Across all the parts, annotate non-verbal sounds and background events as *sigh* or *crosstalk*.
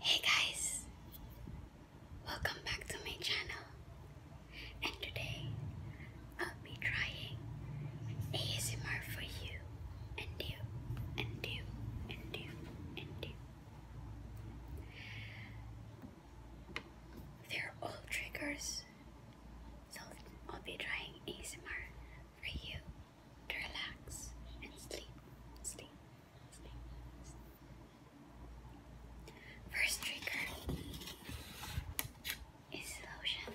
Hey guys, welcome back to my channel and today I'll be trying ASMR for you and you and you and you and you. They're all triggers so I'll be trying ASMR for you to relax and sleep, sleep, sleep. sleep. First trigger is lotion.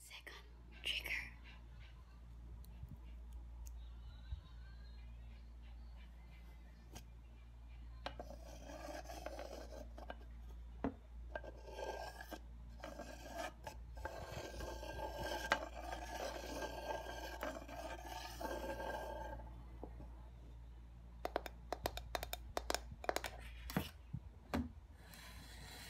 Second trigger.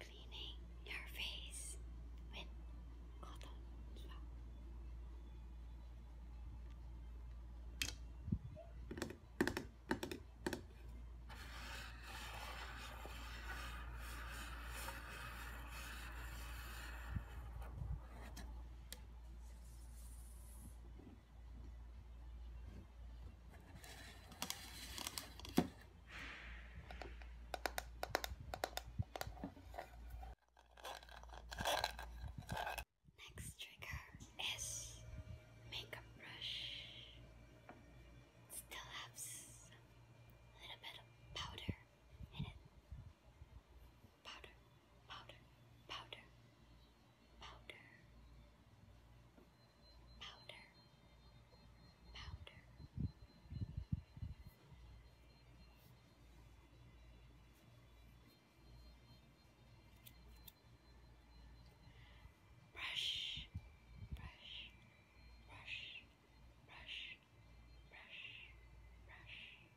Cleaning your face with cotton Next trigger is makeup brush. Still have some little bit of powder in it. Powder, powder, powder, powder powder, powder. Brush, brush, brush, brush, brush, brush, brush, brush.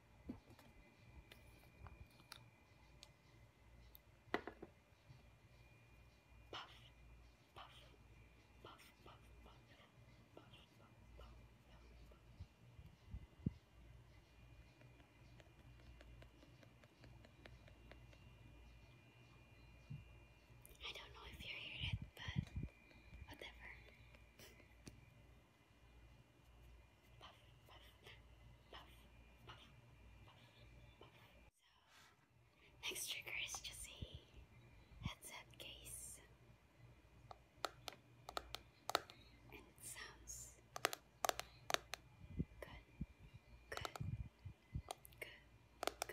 I don't know if you hear it, but whatever next trigger is just a headset case, and sounds good, good, good, good, good.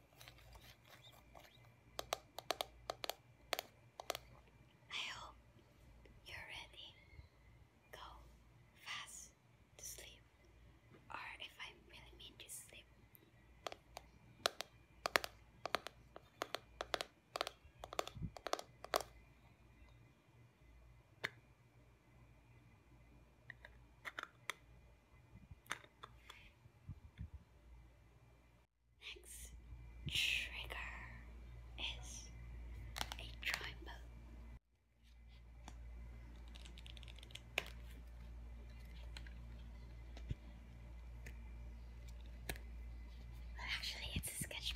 I hope you're ready. Go fast to sleep, or if I really mean to sleep. Next trigger is a triangle. actually, it's a sketch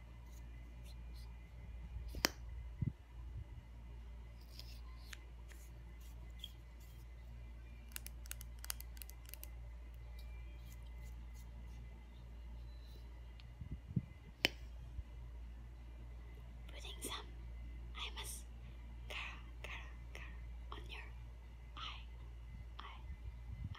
Putting some Imus Kara Kara Kara on your eye, eye,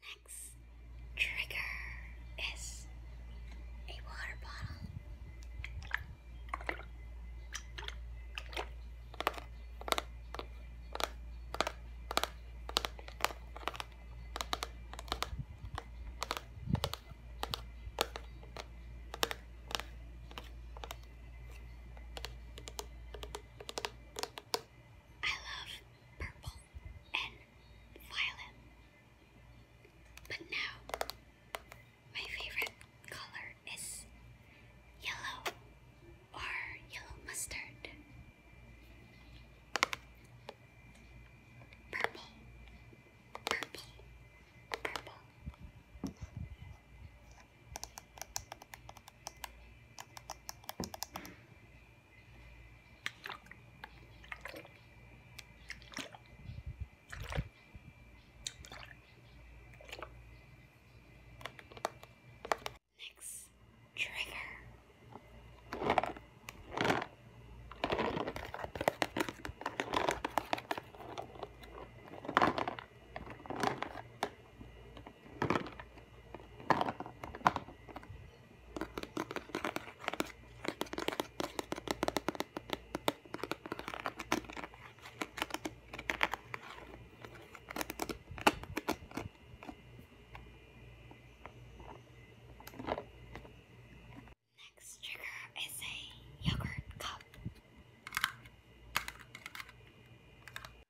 Next trigger is a water bottle. I love purple and violet. But now, my favorite color is yellow or yellow mustard. Purple, purple, purple. Next trigger. Next trigger is a yogurt cup.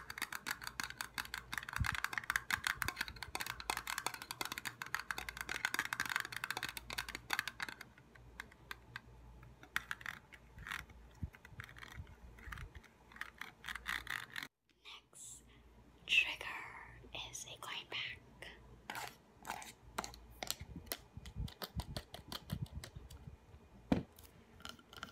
Next trigger is a coin pack.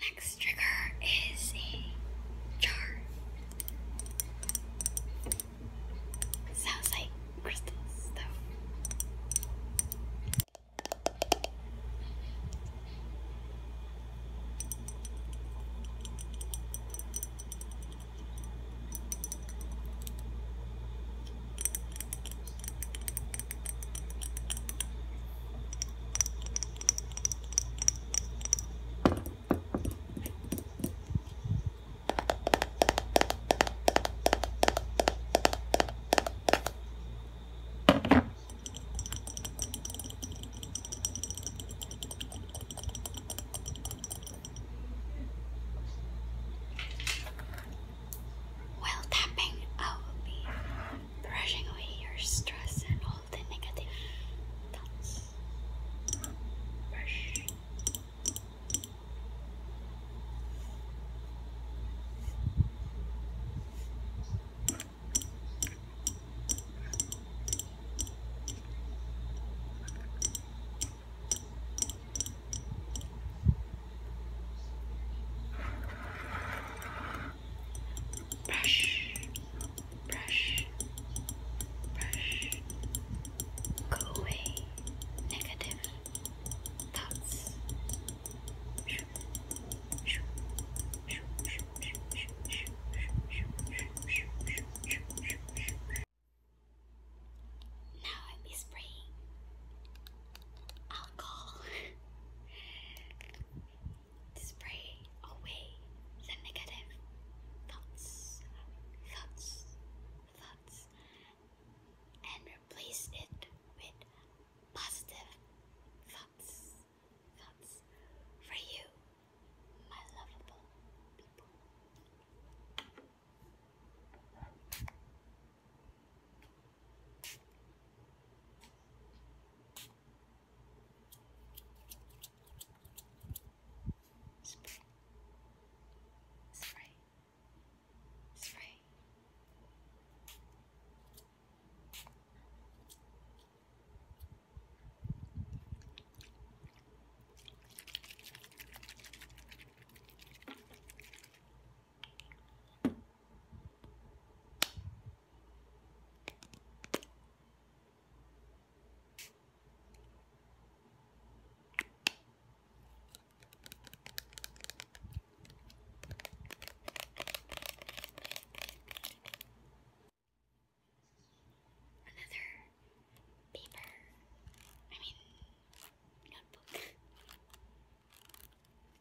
Next trigger is a jar. Sounds like crystal stuff. Well, tapping, I will be brushing away your stress and all the negative thoughts. Brush brush, brush, brush. Go away, negative thoughts. Now I'll spraying alcohol to spray away the negative thoughts, thoughts, thoughts, and replace it with positive thoughts, thoughts for you, my lovable people. Spray. Spray. Spray. Another paper, I mean, notebook.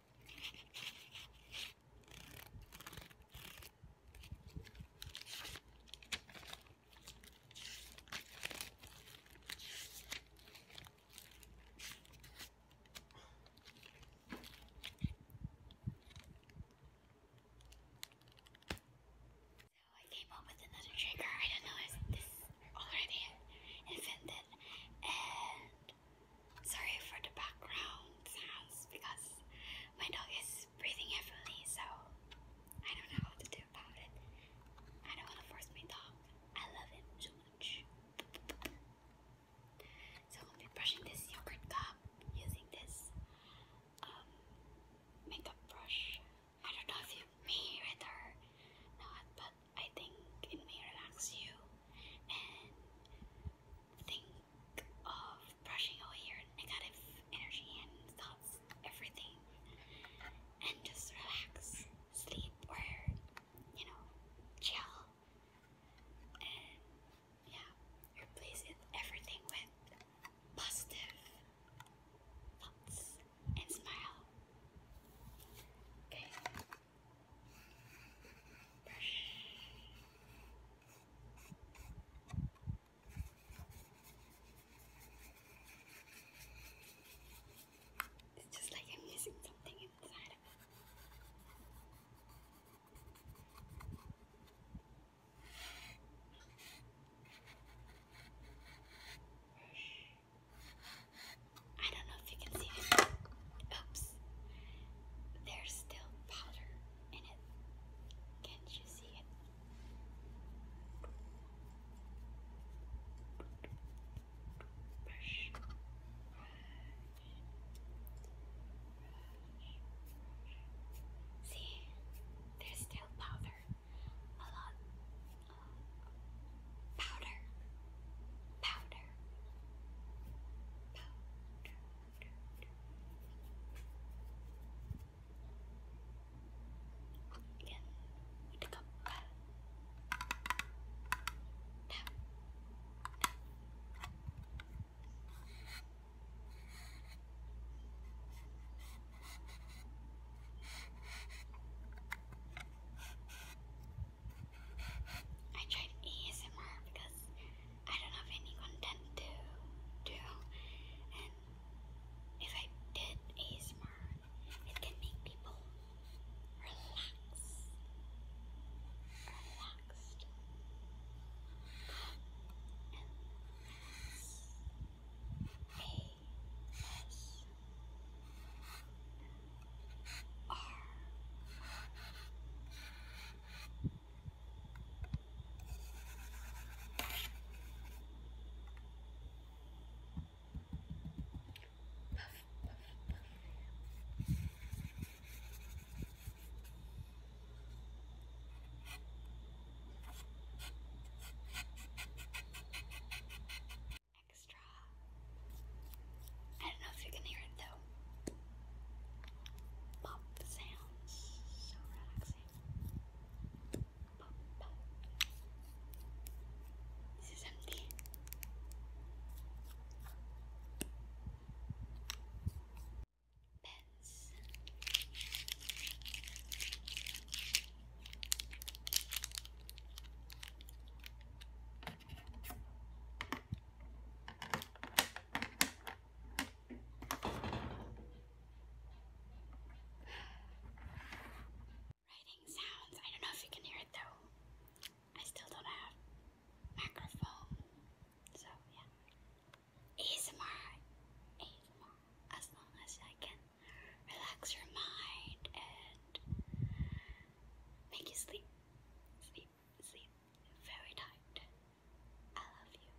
I came up with another trigger. I don't know if this already invented and Sorry for the background sounds because my dog is breathing heavily, so I don't know what to do about it. I don't want to force my dog. I love him so much. So i am be brushing this yogurt cup using this um, makeup brush. I don't know if you may read or not, but I think it may relax you and think of brushing away your negative energy and thoughts, everything, and just relax, sleep, or you know, chill. And yeah, replace everything with positive thoughts and smile. Okay. It's just like I'm missing something inside of it. I don't know if you can see it. Oops there's still powder in it. Can't you see it? Brush, brush, brush, See, there's still powder. A lot. Uh, Powder. Powder. Yan. Dekat. Tap. Tap. I tried ASMR because I don't know any content to do, and if I did ASMR, it can make people relax, relaxed, A S R. Extra. I don't know if you can hear it though pop sounds, so relaxing. This is empty. Pens. Writing sounds. I don't know if you can hear it though. I still don't have microphone. So yeah. ASMR. ASMR. As long as I can relax your mind and make you sleep. Sleep sleep, very tight. I love you.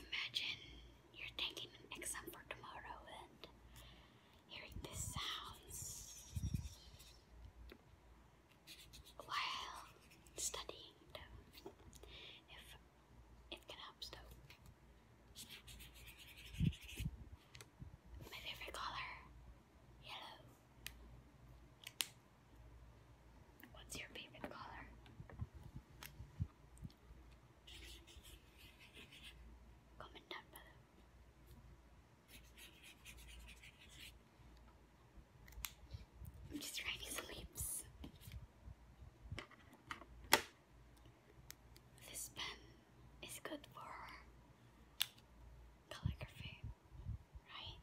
Imagine you're taking an exam for tomorrow and hearing these sounds while studying If it can help though. My favorite color, yellow. What's your favorite color? Comment down below. I'm just writing some leaves. This pen is good for calligraphy, right?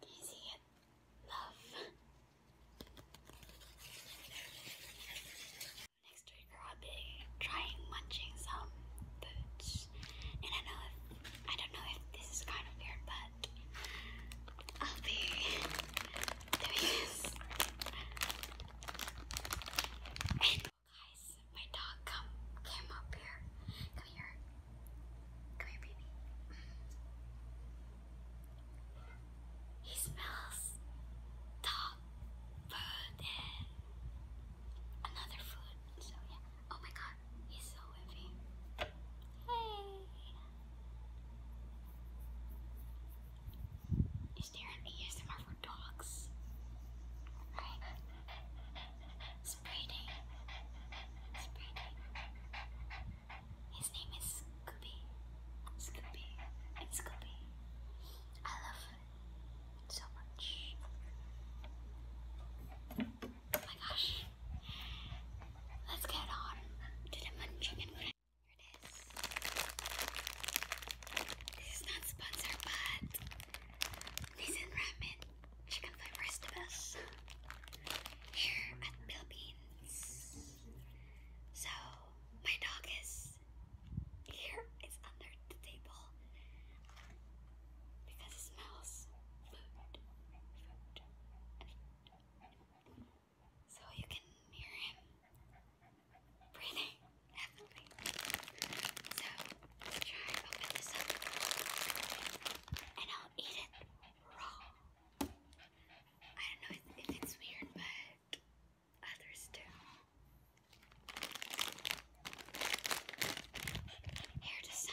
Can you see it? Love. Next week I'll trying munching some boots. And I know if, I don't know if this is kind of weird, but I'll be doing this. And my dog come came up here. Come here. Come here, baby. He smells dog food another food. So yeah. Oh my god, he's so heavy. Hey. Is there an ASMR for dogs? Spreading. Spreading. His name is Scooby. Scooby. It's Scooby. I love it so much. Oh my gosh. Let's get on to the munching and Here it is. This is not sponsored, but this is Chicken can find rest of us here at the Philippines. So my dog is here. under the table because it smells food. So you can hear him breathing heavily. *laughs* So and I'll eat it raw. I don't know if, it's weird, but others do. Hair to sounds.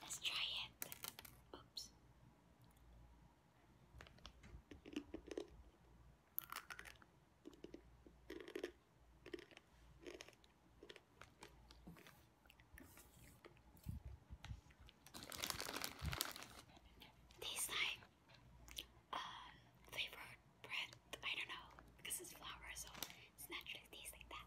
Let's try it. Oops. Tastes like uh, flavored bread. I don't know because it's flour, so it's naturally tastes like that.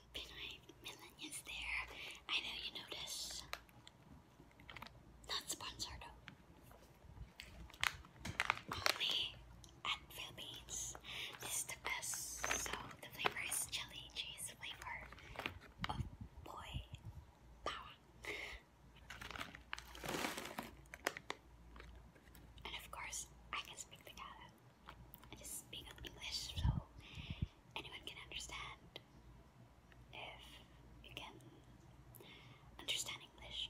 Pinway Midland there. I know you notice. Not sponsored Only at Philippines. This is the best. So the flavor is chili cheese flavor of oh, boy power. And of course, I can speak Tagalog. I just speak English, so anyone can understand if you can understand English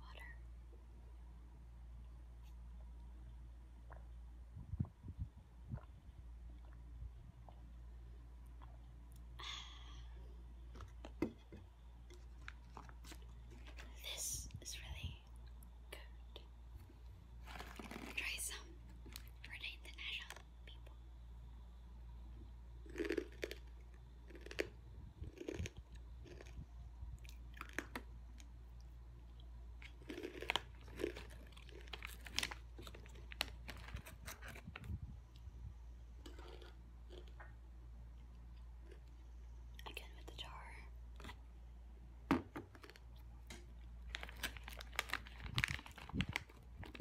Water. This is really good. Try some for international people. Again with the jar.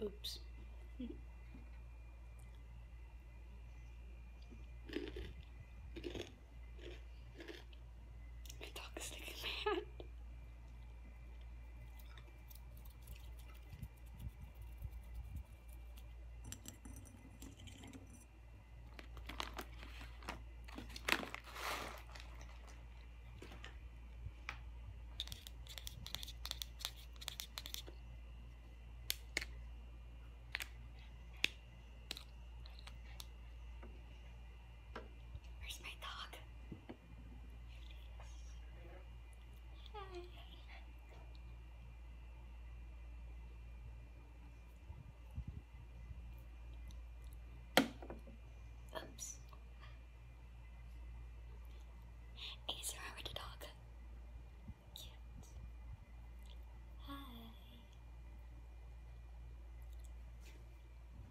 Oops. *laughs* My dog is Where's my dog? Oops. Is there already dog? Cute. Hi.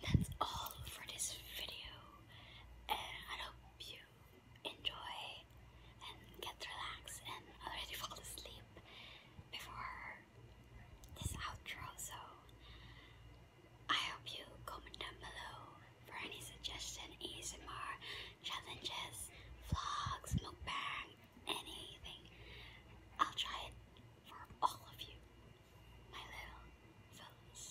Guys, that's all for this video, and I hope you enjoy and get relaxed and already *laughs* fall asleep before this outro. So I hope you comment down below for any suggestion, ASMR, challenges, vlogs, mukbang, anything. I'll try it for all of you, my little fellas.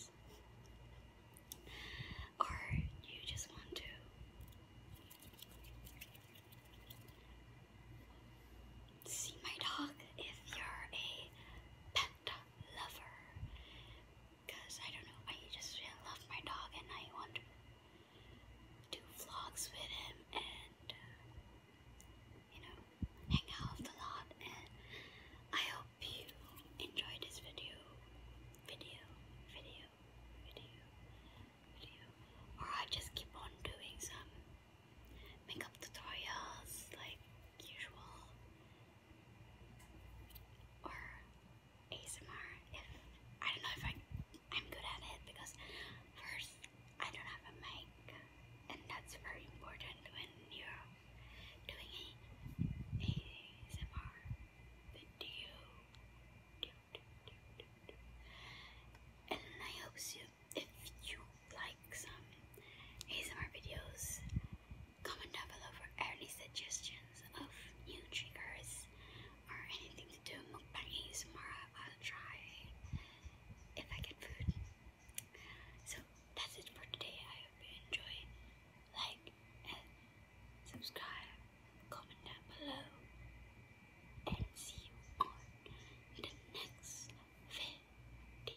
Or you just want to see my dog if you're a pet dog lover. Because I don't know, I just love my dog and I want to do vlogs with him and, uh, you know, hang out a lot. And I hope you enjoyed this video. Video, video, video, video. Or I just keep on doing some makeup tutorials like usual or ASMR if I don't know if I I'm good at it because first I don't have a mic and that's very important when you're doing a ASMR video and I hope so if you like some ASMR videos. Comment down below for any suggestions of new triggers or anything to do mukbang ASMR. I'll try if I get food. So that's it for today. I hope you enjoy. Like and subscribe. Comment down below. And see you on the next video.